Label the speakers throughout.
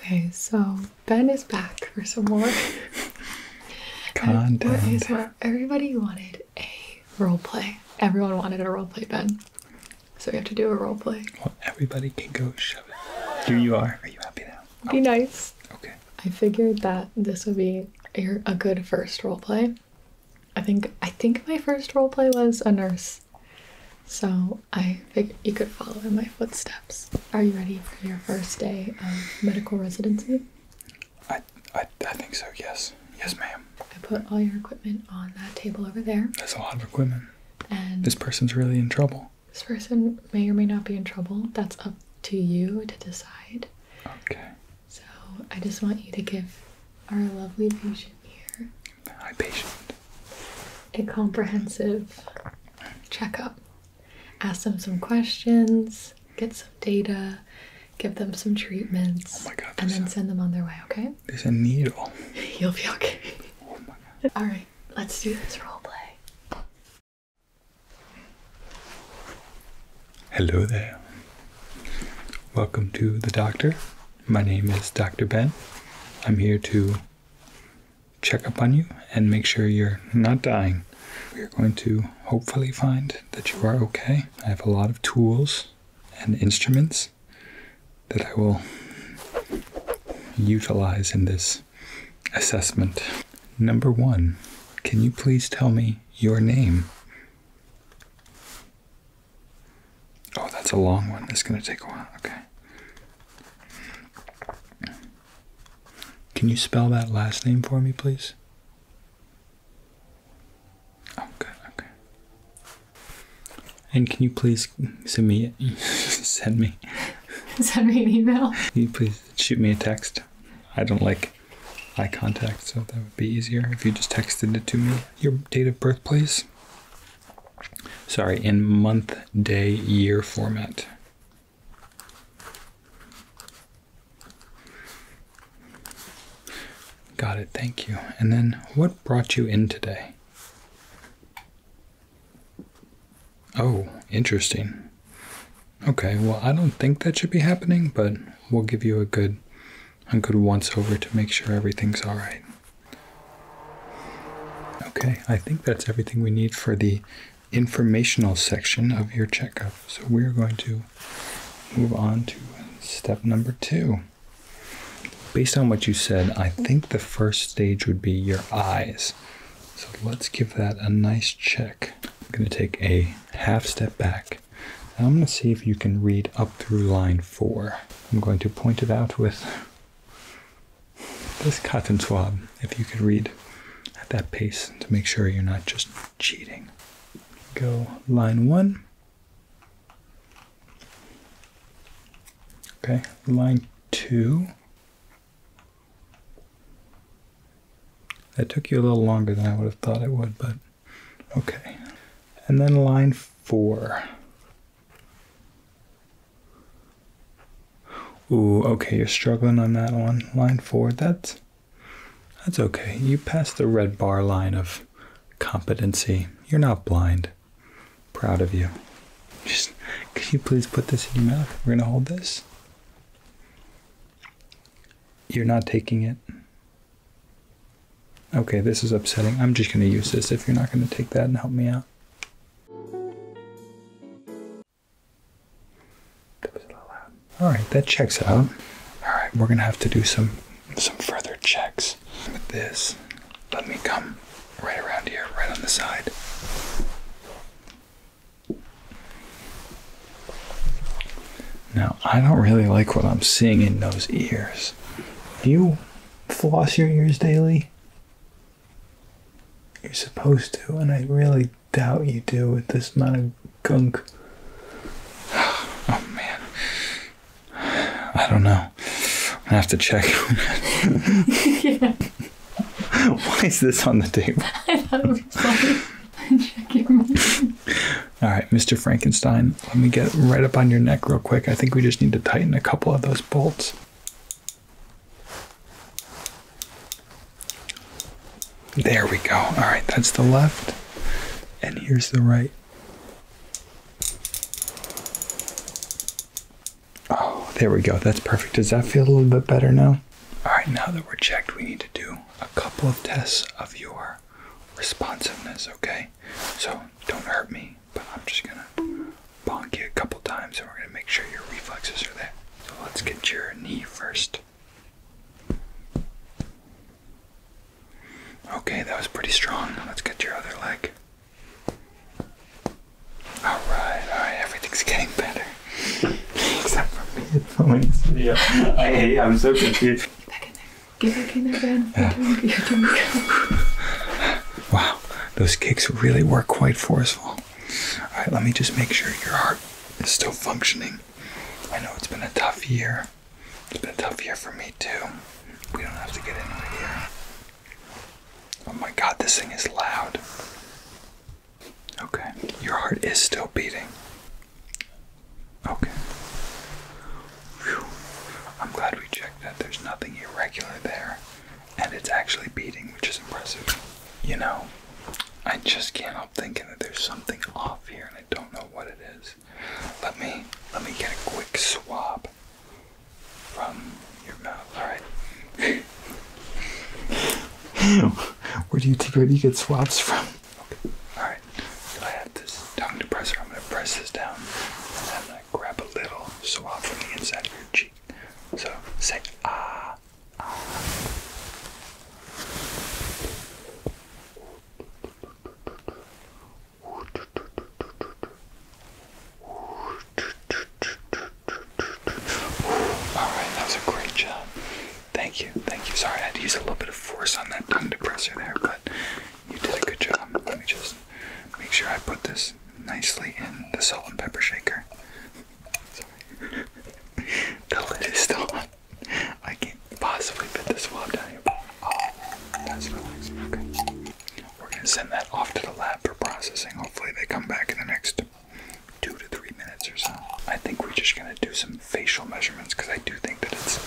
Speaker 1: Okay, so Ben is back for some more content. What is Everybody wanted a role play. Everyone wanted a role play, Ben. So we have to do a role play. Well,
Speaker 2: everybody can go shove it. Here you are. Are you happy
Speaker 1: now? Be nice. Okay. I figured that this would be a, a good first role play. I think I think my first role play was a nurse. So I figured you could follow in my footsteps. Are you ready for your first day of medical residency? I, I, I think so, yes. Yes, ma'am. I put all your equipment on that table over there. That's a lot of equipment. And
Speaker 2: this person's really in trouble.
Speaker 1: This person may or may not be in trouble. That's up to you to decide. Okay. So I just want you to give our lovely patient here Hi, patient. A comprehensive checkup. Ask them some questions, get some data, give them some treatments, oh God, and then send them on their way, okay?
Speaker 2: There's a needle.
Speaker 1: You'll be okay. Oh my God. All right, let's do this role play.
Speaker 2: Hello there. Welcome to the doctor. My name is Dr. Ben. I'm here to check up on you and make sure you're not dying. We are going to hopefully find that you are okay. I have a lot of tools and instruments that I will utilize in this assessment. Number one, can you please tell me your name? Oh, that's a long one. It's going to take a while. Okay. Can you spell that last name for me, please? Oh, good. Okay. And can you please send me send me
Speaker 1: send me an email?
Speaker 2: you please shoot me a text? I don't like eye contact, so that would be easier if you just texted it to me. Your date of birth, please sorry, in month, day, year format. Got it, thank you. And then what brought you in today? Oh, interesting. Okay, well, I don't think that should be happening, but we'll give you a good a good once over to make sure everything's all right. Okay, I think that's everything we need for the informational section of your checkup. So we're going to move on to step number two. Based on what you said, I think the first stage would be your eyes. So let's give that a nice check. I'm going to take a half step back. I'm going to see if you can read up through line four. I'm going to point it out with this cotton swab, if you could read at that pace to make sure you're not just cheating. Go line one. Okay, line two. That took you a little longer than I would have thought it would, but Okay. And then line four. Ooh, okay, you're struggling on that one. Line four, that's that's okay. You passed the red bar line of competency. You're not blind. Proud of you. Just could you please put this in your mouth? We're gonna hold this. You're not taking it. Okay, this is upsetting. I'm just going to use this if you're not going to take that and help me out. Alright, that checks out. Alright, we're going to have to do some, some further checks. With this, let me come right around here, right on the side. Now, I don't really like what I'm seeing in those ears. Do you floss your ears daily? You're supposed to, and I really doubt you do with this amount of gunk. Oh man. I don't know. I have to check yeah. Why is this on the tape?
Speaker 1: I thought it was funny.
Speaker 2: All right, Mr. Frankenstein, let me get right up on your neck real quick. I think we just need to tighten a couple of those bolts. There we go. All right, that's the left, and here's the right. Oh, there we go. That's perfect. Does that feel a little bit better now? All right, now that we're checked, we need to do a couple of tests of your responsiveness, okay? So don't hurt me, but I'm just gonna bonk you a couple times and we're gonna make sure your reflexes are there. So let's get your knee first. Okay, that was pretty strong. Let's get your other leg. Alright, alright, everything's getting better. Except for me, it's always. Yeah, I, I'm so confused. Back in
Speaker 1: there. Give your kindergarten. Yeah. You're doing, you're doing
Speaker 2: wow, those kicks really were quite forceful. All right, let me just make sure your heart is still functioning. I know it's been a tough year. It's been a tough year for me too. We don't have to get in here. Oh my god, this thing is loud. Okay, your heart is still beating. Okay. I'm glad we checked that there's nothing irregular there, and it's actually beating, which is impressive. You know, I just can't help thinking that there's something off here, and I don't know what it is. Let me let me get a quick swab from your mouth. All right. Where do you where do you get swabs from? Okay. Alright, I have this tongue depressor. I'm going to press this down and I'm grab a little swab from the inside of your cheek. So say ah, ah. Alright, that was a great job. Thank you, thank you. Sorry, I had to use a little bit of force on that tongue depressor there, but you did a good job. Let me just make sure I put this nicely in the salt and pepper shaker. Sorry. the lid is still on. I can't possibly fit this wad down here. Oh, that's relaxing. Okay. We're going to send that off to the lab for processing. Hopefully, they come back in the next two to three minutes or so. I think we're just gonna do some facial measurements because I do think that it's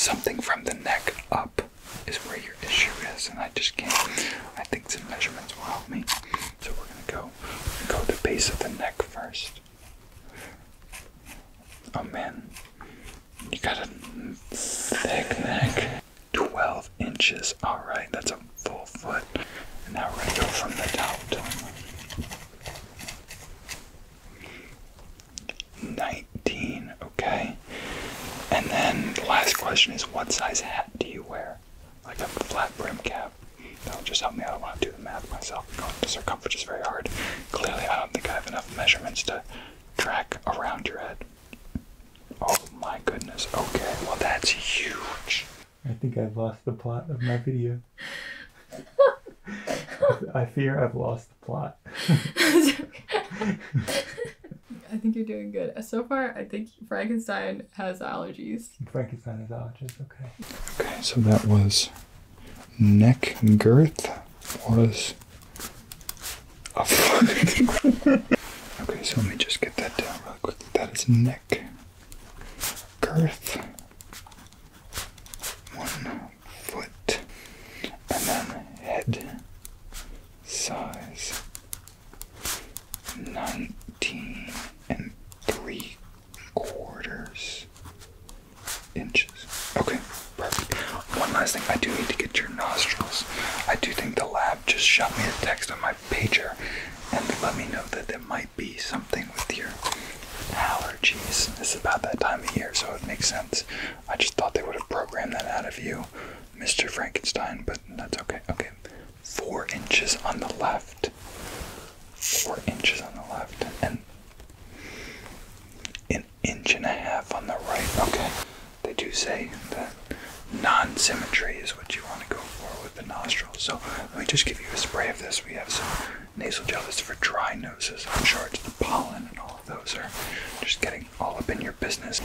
Speaker 2: something from the neck up is where your issue is, and I just can't. I think some measurements will help me. So we're gonna go go the base of the neck first. Oh man, you got a thick neck. 12 inches. Alright, that's a full foot. And now we're gonna go from the top to 19, okay. And then the last question is what size hat do you wear? Like a flat brim cap. That'll just help me out. I want to do the math myself. Going to circumference is very hard. Clearly, I don't think I have enough measurements to track around your head. Oh my goodness. Okay, well, that's huge. I think I have lost the plot of my video. I fear I've lost the plot. I
Speaker 1: think you're doing good. So far, I think Frankenstein has allergies.
Speaker 2: Frankenstein has allergies, okay. Okay, so that was neck girth was a okay, so let me just get that down really quickly. That is neck girth, one foot, and then head size nineteen and three quarters inches. Okay, perfect. One last thing, I do need to get your nostrils. I do think the lab just shot me a text on my pager and let me know that there might be something with your allergies. It's about that time of year, so it makes sense. I just thought they would have programmed that out of you, Mr. Frankenstein, but that's okay. Okay, four inches on the left. Four inches on the left, and an inch and a half on the right. Okay, they do say that non symmetry is what you want to go for with the nostrils. So let me just give you a spray of this. We have some nasal gel that's for dry noses. I'm sure it's the pollen and all of those are just getting all up in your business.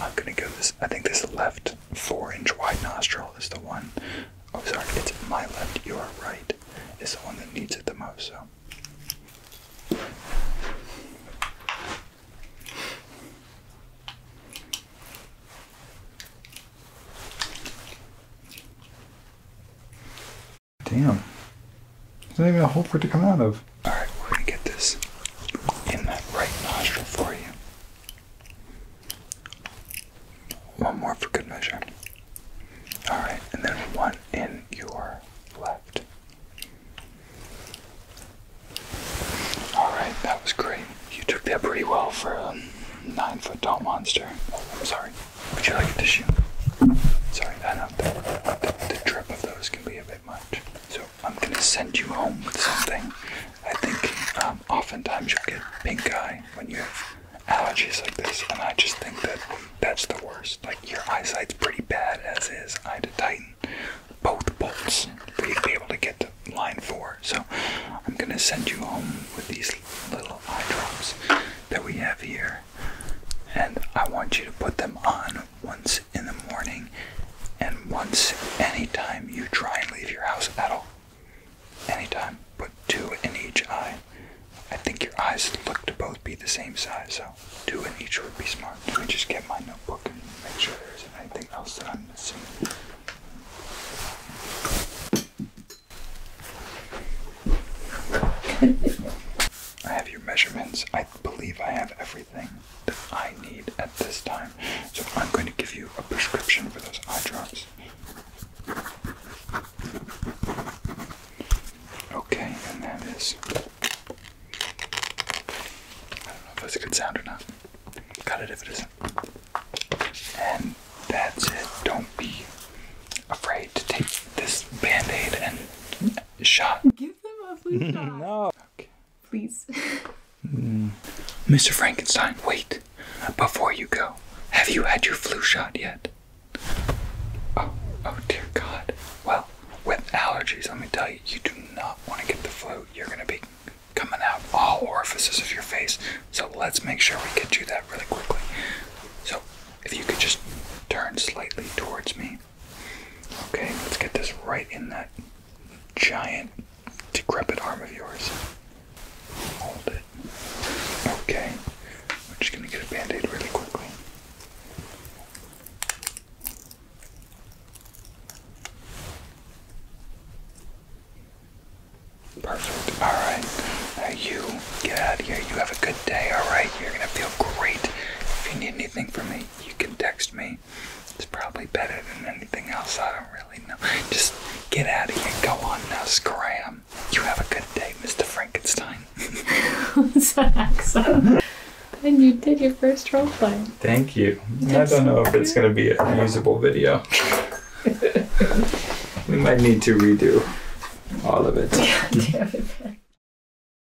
Speaker 2: I'm gonna go this. I think this left four-inch wide nostril is the one. Oh, sorry, it's my left, your right is the one that needs it the most. So. Damn. There's not even a hole for it to come out of. Alright, we're gonna get this in that right nostril for you. One more for good measure. Alright, and then one in your left. Alright, that was great. You took that pretty well for a um, nine foot tall monster. I'm sorry. Would you like a tissue? Sorry, I know the, drip of those can be a bit much. So I'm gonna send you home with something. I think um, oftentimes you'll get pink eye when you have allergies like this, and I just think that that's the worst. Like your eyesight's pretty bad as is. I had to tighten both bolts for you to be able to get line four. So I'm gonna send you home with these little eye drops that we have here, and I want you to put them on once in the morning and once anytime you try and leave your house at all. Anytime, put two in each eye. I think your eyes look to both be the same size, so two in each would be smart. Let me just get my notebook and make sure there isn't anything else that I'm missing. I have your measurements. I believe I have everything that I need at this time. So I'm going to give you a prescription for those eye drops. Okay, and that is. I don't know if that's a good sound or not. Cut it if it is. isn't. And that's it. Don't be afraid to take this band aid and shot. Give them a flu shot. no. Please. Mr. Mm. Frankenstein, wait. Before you go, have you had your flu shot yet? Oh, oh dear God. Well, with allergies, let me tell you, you do not want to get the flu. You're going to be coming out all orifices of your face. So let's make sure we get you that really quickly. So if you could just turn slightly towards me. Okay, let's get this right in that giant decrepit arm of yours. Hold it. Okay. We're just gonna get a band-aid really quickly. Perfect. All right. you get out of here. You have a good day. All right. You're going to feel great. If you need anything from me, you can text me. It's probably better than anything else. I don't really know. Just get out of here. Go on now. Scram. You have a good day, Mr. Frankenstein.
Speaker 1: What's that And you did your first role play.
Speaker 2: Thank you. I don't know if it's going to be a usable video. we might need to redo all of it.